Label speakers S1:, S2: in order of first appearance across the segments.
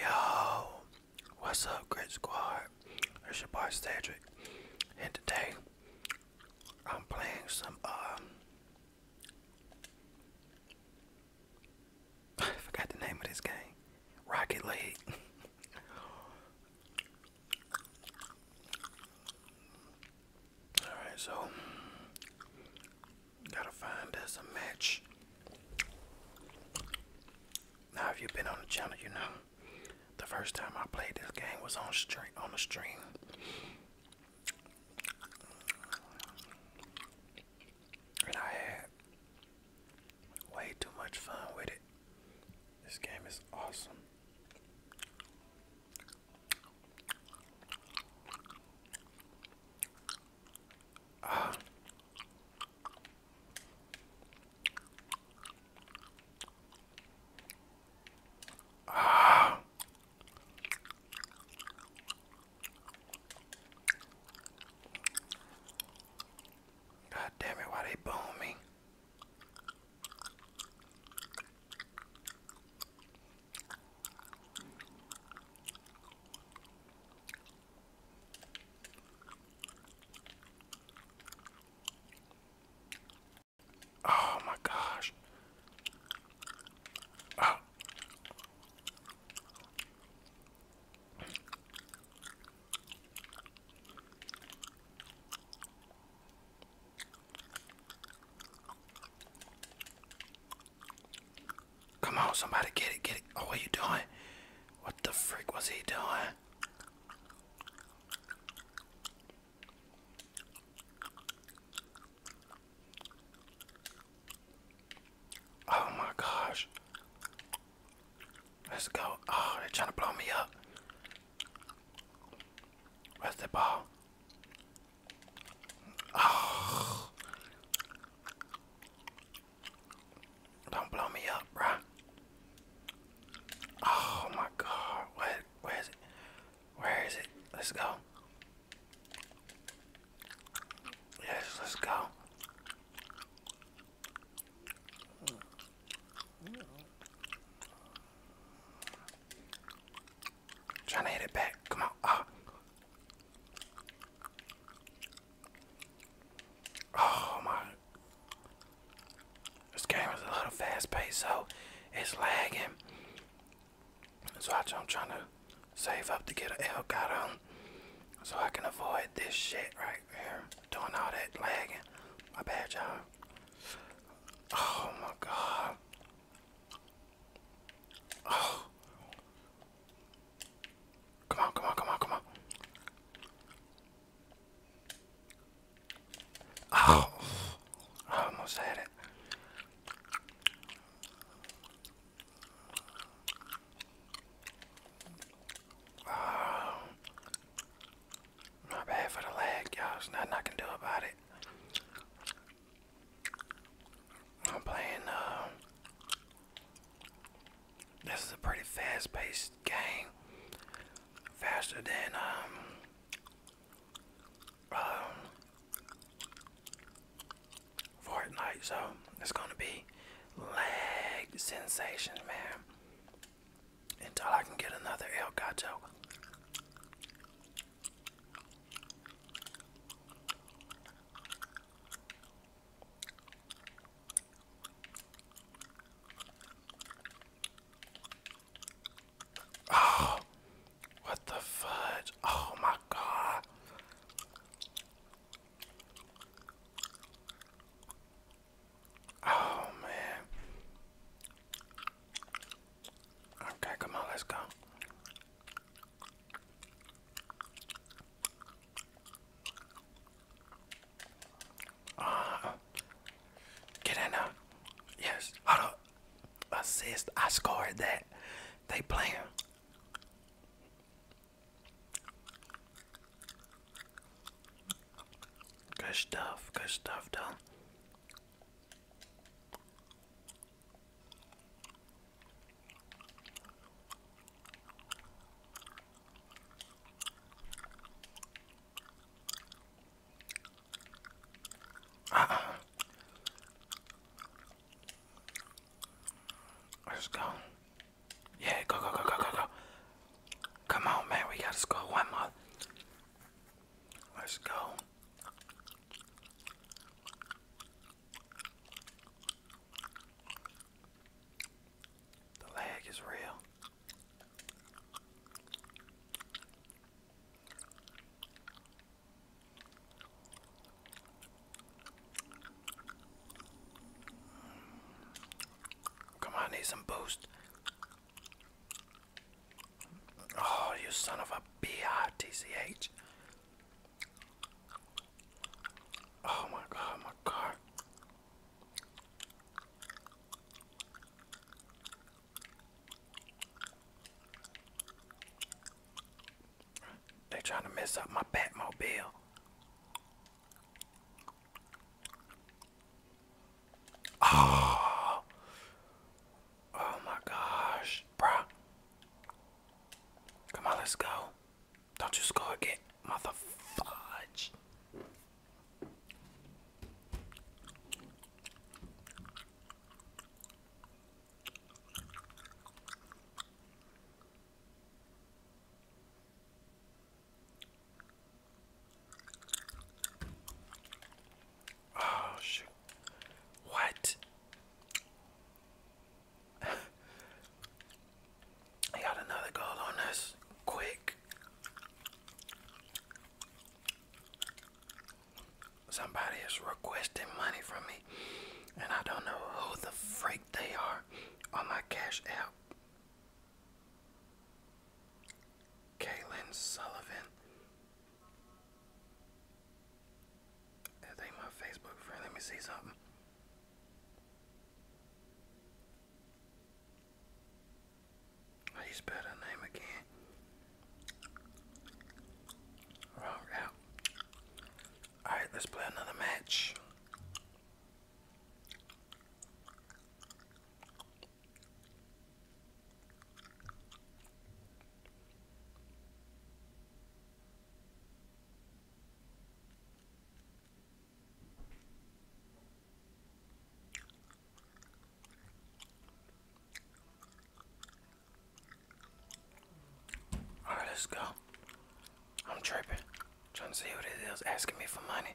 S1: Yo, what's up, Grit Squad? It's your boy Cedric, and today I'm playing some. Um, forgot the name of this game. Rocket League. Alright, so gotta find us a match. Now, if you've been on the channel, you know the first time I played this game was on stream. On the stream. And I had way too much fun with it. This game is awesome. Ah. Ah. God damn it, why they bone me? Oh my gosh. Oh. Come on, somebody get it, get it. Oh, what are you doing? What the freak was he doing? Oh my gosh. Let's go. Oh, they're trying to blow me up. Where's the ball? Ah. Don't blow me up, bruh. Oh my god. Where where is it? Where is it? Let's go. Yes, let's go. Trying to hit it back. Come on. Ah. Oh. my. This game is a little fast paced, so it's lagging. So I'm trying to save up to get an Elgato so I can avoid this shit right there doing all that lagging. My bad, you Oh my god. Oh. Come on, come on, come on, come on. Oh. I almost had it. Oh. My bad for the lag, y'all. There's nothing I can do about it. I'm playing, uh, this is a pretty fast paced game. Faster than, um, um, Fortnite, so it's gonna be lag sensation, man until I can get another El Gato. Oh, what the fudge? Oh my god. Oh man. Okay, come on, let's go. Uh, get in there. Yes. Hold up. Assist. I scored that. They playing. Good stuff, good stuff, Dylan. Uh -uh. Let's go. Yeah, go, go, go, go, go, go. Come on, man. We gotta score one more. Let's go. The lag is real. Come on, need some boost. Oh, you son of a bitch! Oh my god, my car. They trying to mess up my Batmobile. Oh, oh my gosh, bruh. Come on, let's go. Don't you score again, mother Oh shoot. What? I got another goal on us. Quick. Somebody is requesting money from me, and I don't know who the freak they are on my Cash App. Kaylin Sullivan. That ain't my Facebook friend. Let me see something. How you spell name again? Wrong out. Alright, let's play another match. All right, let's go. I'm tripping. Trying to see who this is asking me for money.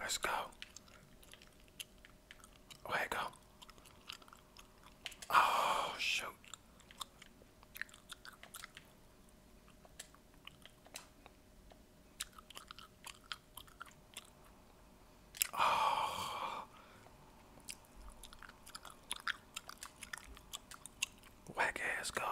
S1: Let's go. Where go? Oh shoot. Oh. Whack ass go.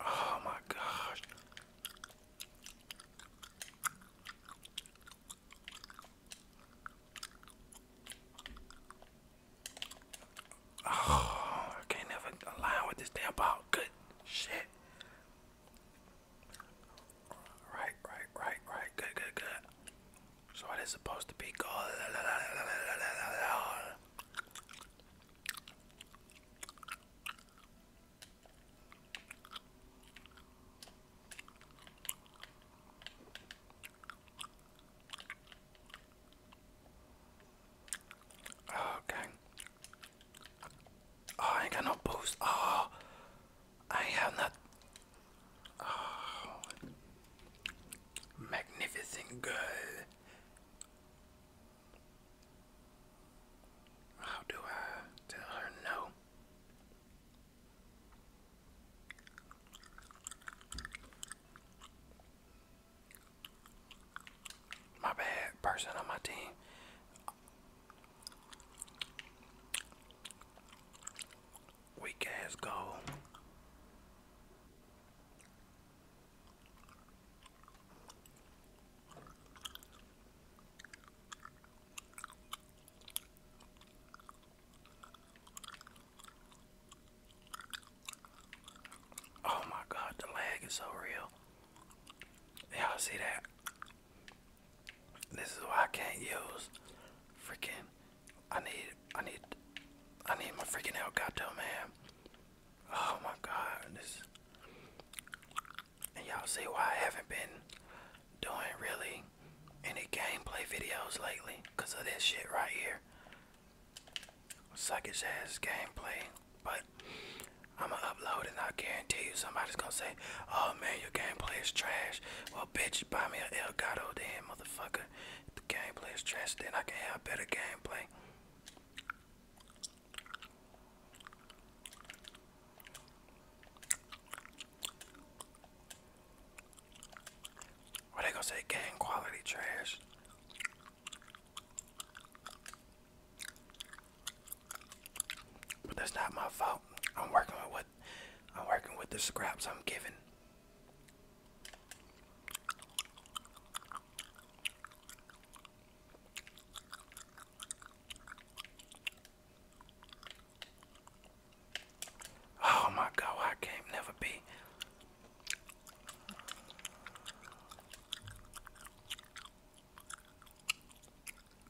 S1: oh my gosh. Oh, I can't never align with this damn ball. Good shit. Right, right, right, right. Good, good, good. So it is supposed to be goal. Okay. Oh, oh, I cannot post. boost. Oh, I have not. magnificent girl. How do I tell her no? My bad person on my team. Weak ass goal. Oh my god, the lag is so real. Y'all see that? This is why I can't use freaking I need I need I need my freaking El man. Oh my god, and y'all see why I haven't been doing really any gameplay videos lately because of this shit right here. suck his ass gameplay. But I'ma upload and I guarantee you somebody's gonna say, Oh man, your gameplay is trash. Well bitch buy me an Elgato then motherfucker. If the gameplay is trash, then I can have better gameplay. What they gonna say? Gang quality trash. But that's not my fault. I'm working with what I'm working with the scraps I'm given. Oh my god, I can't never be.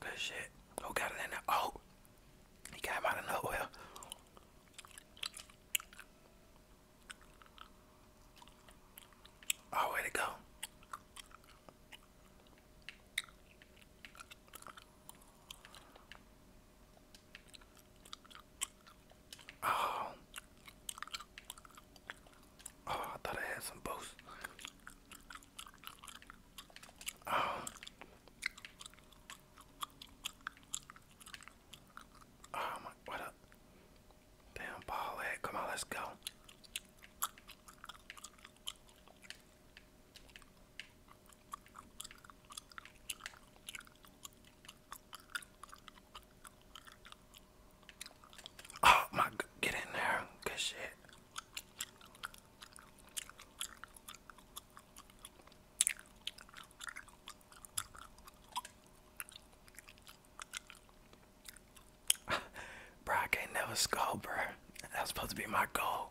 S1: Good shit. Who got it in there? Oh, he came out of nowhere. Oh, where'd go? Oh. Oh, I thought I had some boost. Oh. Oh my, what up? Damn ball head, come on, let's go. Oh my, get in there. Good shit. bro, I can't never score, bro. That was supposed to be my goal.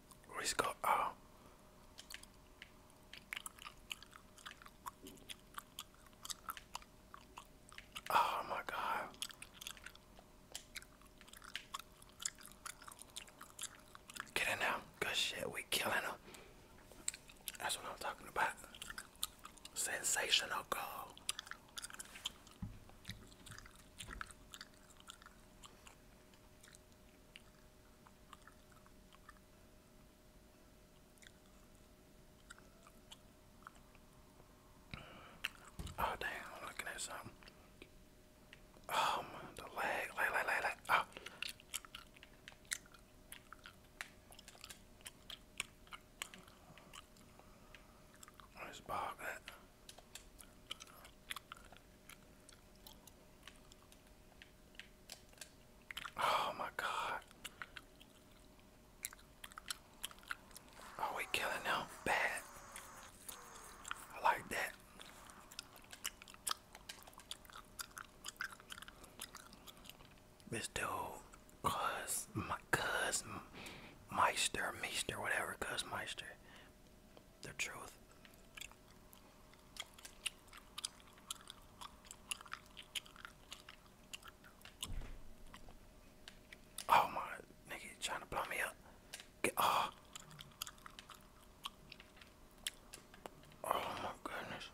S1: Risco. Oh. Uh, oh my God. Get in now. Good shit. We killing them. That's what I'm talking about. Sensational goal. Oh damn, I'm looking at something. Oh my, the lag, lag, lag, lag, lag. Ah. Let's bog that. Oh my god. Are oh, we killing them bad? I like that. This dude, my cuz, Meister, Meister, whatever, cuz Meister, the truth. Oh my nigga, trying to blow me up? Get oh. oh my goodness.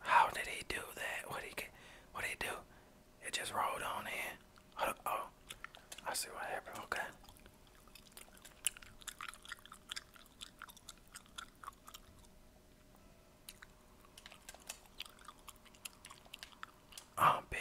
S1: How did he do that? What he get? What he do? It just rolled on in. oh, I see what happened. Okay. Oh, bit.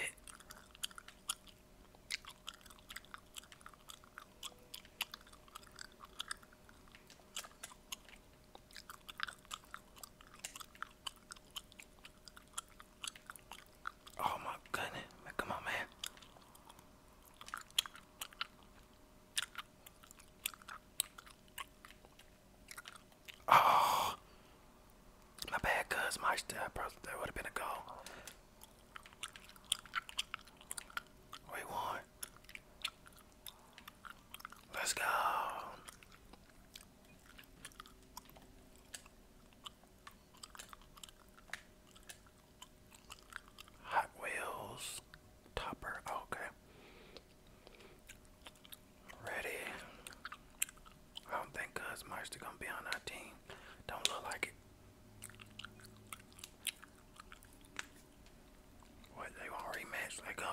S1: Oh my goodness, man, come on, man. Oh, my bad, cuz my step, that would have been a goal. We won. Let's go. Hot Wheels topper. okay. Ready. I don't think Cuz Marcy gonna be on our team. Don't look like it. What they want rematch? Let go.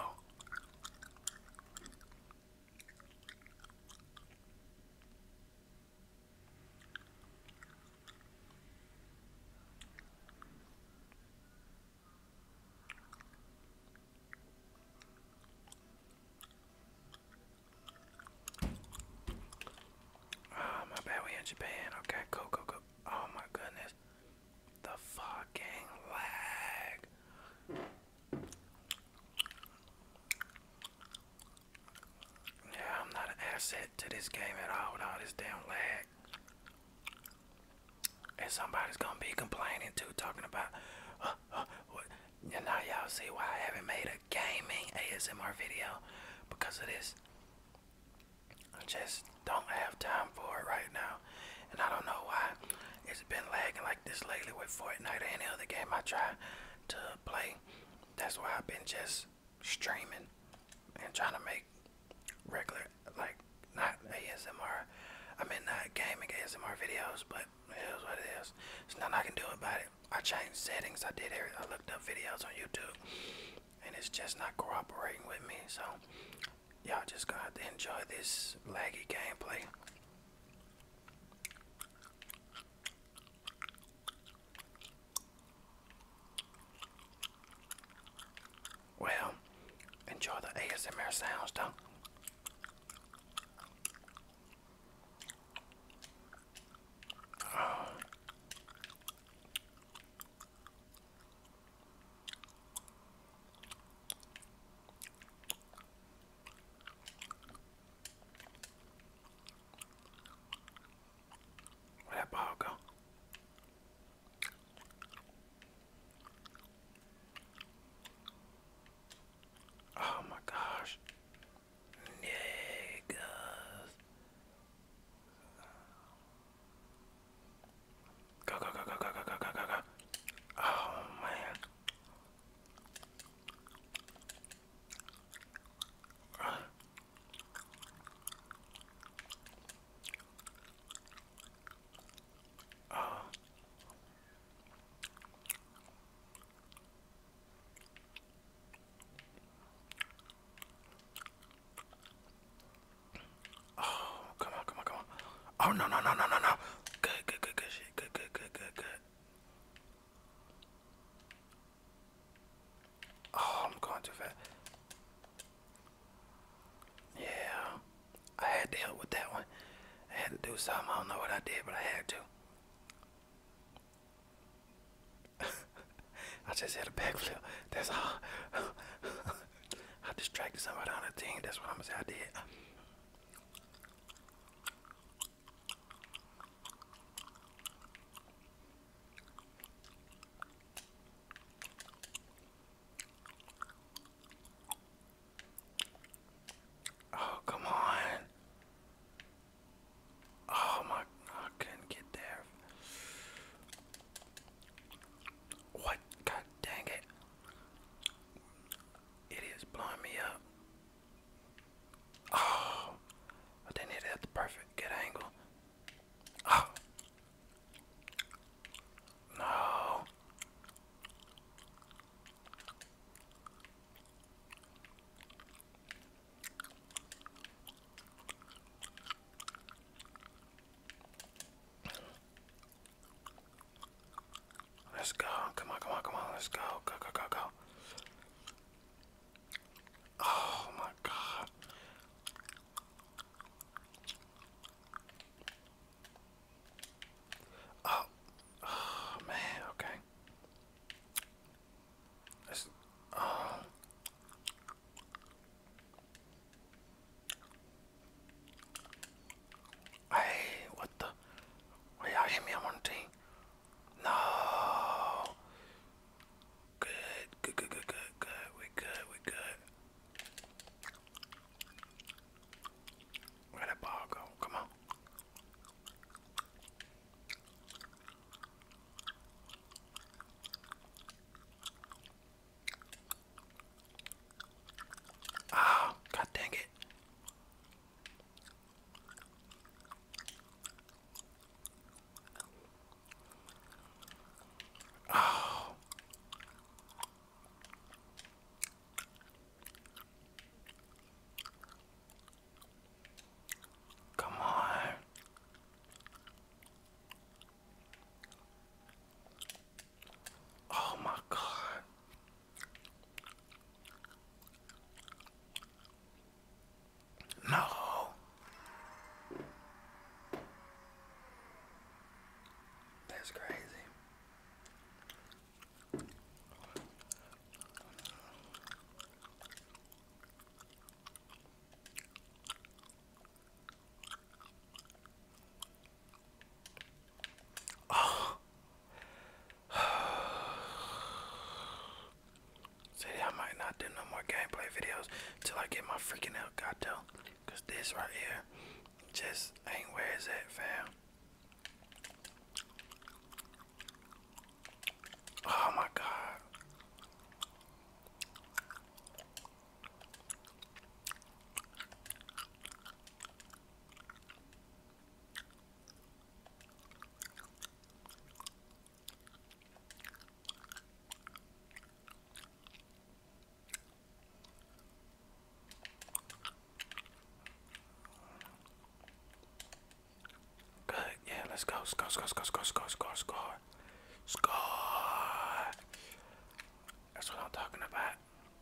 S1: Oh, my bad, we in Japan. Okay, cool, cool, cool. Oh my goodness. The fucking lag. Yeah, I'm not an asset to this game at all with all this damn lag. And somebody's gonna be complaining too, talking about, uh, uh, And now y'all see why I haven't made a gaming ASMR video because it is. I just don't have time for it right now. And I don't know why it's been lagging like this lately with Fortnite or any other game I try to play. That's why I've been just streaming and trying to make regular, like, not ASMR, I mean, not gaming ASMR videos, but it is what it is. There's nothing I can do about it. I changed settings, I did everything, I looked up videos on YouTube, and it's just not cooperating with me, so y'all just gonna have to enjoy this laggy gameplay. Well, enjoy the ASMR sounds, though. Oh. Where'd that Oh my gosh. Niggas. Go, go, go, go, go, go, go, go, go, go. Oh, man. Uh. Oh. Oh, come on, come on, come on. Oh, no, no, no, no, no, no. Good, good, good, good shit. Good, good, good, good, good. Oh, I'm going too fast. Yeah, I had to help with that one. I had to do something. I don't know what I did, but I had to. I just had a backflip. That's all. I distracted somebody on the team. That's what I'm gonna say I did. Oh, come on. Oh, my. I couldn't get there. What? God dang it. It is blowing me up. Oh, I did it at the perfect good angle. Oh, Let's go. Come on, come on, come on. Let's go. Go, go, go, go. Oh my god. Oh, oh man, okay. let Hey, what the? Wait, y'all hit No. Good, good, good, good, good, We good, we good. Where that ball go? Come on. Ah, oh, god dang it. Oh. Come on. Oh my god. No. That's crazy. Oh. See, I might not do no more gameplay videos till I get my freaking Elgato. Cause this right here just ain't where it's at, fam. Oh my god. Good, yeah, let's go, score, score, score, score, score, score, score, score. That's what I'm talking about.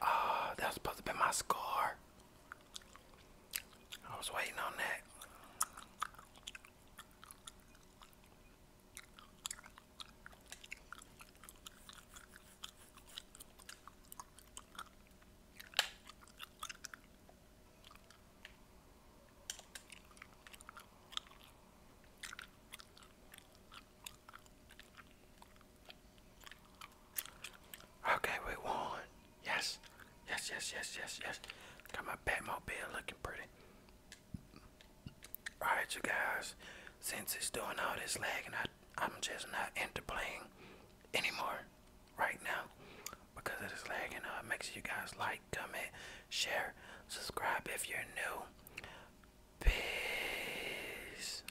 S1: Ah, uh, that was supposed to be my score. I was waiting on that. Okay, we won. Yes. Yes, yes, yes, yes, yes. Got my Batmobile looking pretty. Alright, you guys. Since it's doing all this lagging, I, am just not into playing anymore right now because it is lagging. Uh, make sure you guys like, comment, share, subscribe if you're new. Peace.